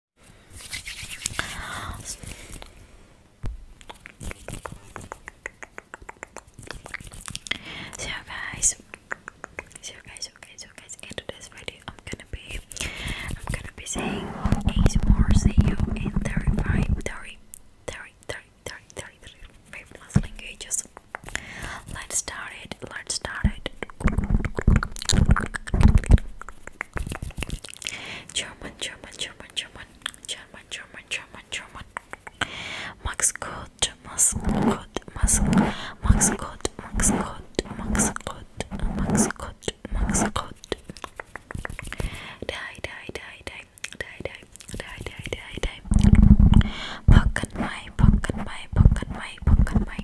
So guys, so guys, okay, so guys, in today's video, I'm gonna be, I'm gonna be saying ASMR, see you in 35, 30, 30, 30, 30, 30, 30, 30 languages. Let's start it, let's start it. German, German, German, German, German, German, German, German. Max Gott, Max Gott, Max Max Gott, Max Gott, Max Gott, Max Gott, Max Gott. Die, die, die, die, die, die, die, die, die, die. Pocket my, pocket my, pocket my, pocket my,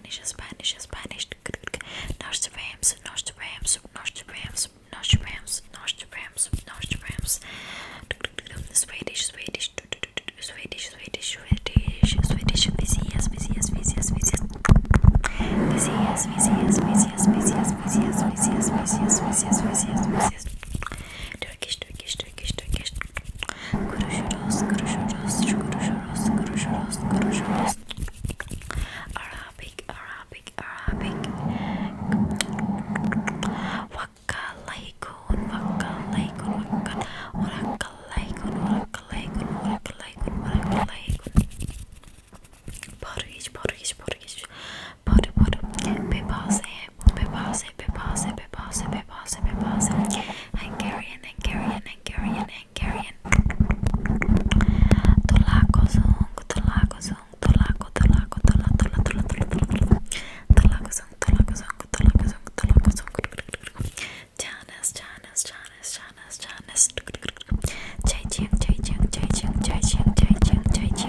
Spanish, Spanish, Spanish. Nostradamus, Nostradamus, Nostradamus, Nostradamus, Nostradamus, Nostradamus. Swedish, Swedish, Swedish, Swedish, Swedish, Swedish. Vizias, vizias, vizias, vizias. Vizias, vizias, vizias, vizias, vizias, vizias, vizias, vizias, vizias, vizias. Turkish, Turkish, Turkish, Turkish. Görüşürüz, görüşürüz, görüşürüz, görüşürüz, görüşürüz. Arabic, Arabic, Arabic. Vakalaykun, vakalaykun, vakal. Orakalaykun, orakalaykun, orakalaykun, orakalaykun. Barış, barış, barış. Barı, barı. Bebase, bebase, bebase, pause, happy pause, happy pause. Hungarian, Hungarian, Hungarian, Hungarian. Tolako song, tolako song, tolako, tolako, tola, tola, tola, tola, tola. Tolako song, tolako song, tolako song, tolako song. Janas, Janas, Janas, Janas, Janas. Chai ching, chai ching, chai ching, chai ching, chai ching, chai ching.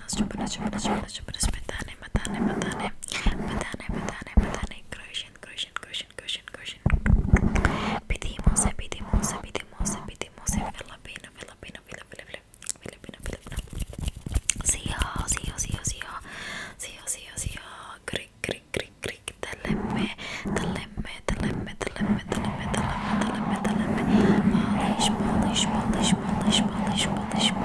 Nasıl burası burası burası burası betane betane betane betane betane betane Croatian Croatian Croatian Croatian Croatian Pedimo se pedimo se pedimo se pedimo se vela pena vela pena vela vela vela vela pena vela pena Sio sio sio sio sio sio sio Greek Greek Greek Greek Teleme teleme teleme teleme teleme teleme teleme teleme Polish Polish Polish Polish Polish Polish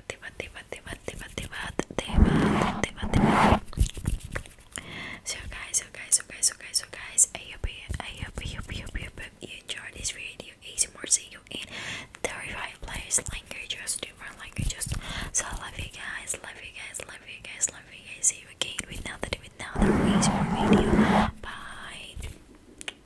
Devat, So guys, so guys, so guys, so guys, so guys, I hope you, I hope you, hope you, hope you, hope you enjoyed this video. ASMR, see you in terrifying place languages, different languages. So I love you guys, love you guys, love you guys, love you guys. See you again with another, with another ASMR video. Bye.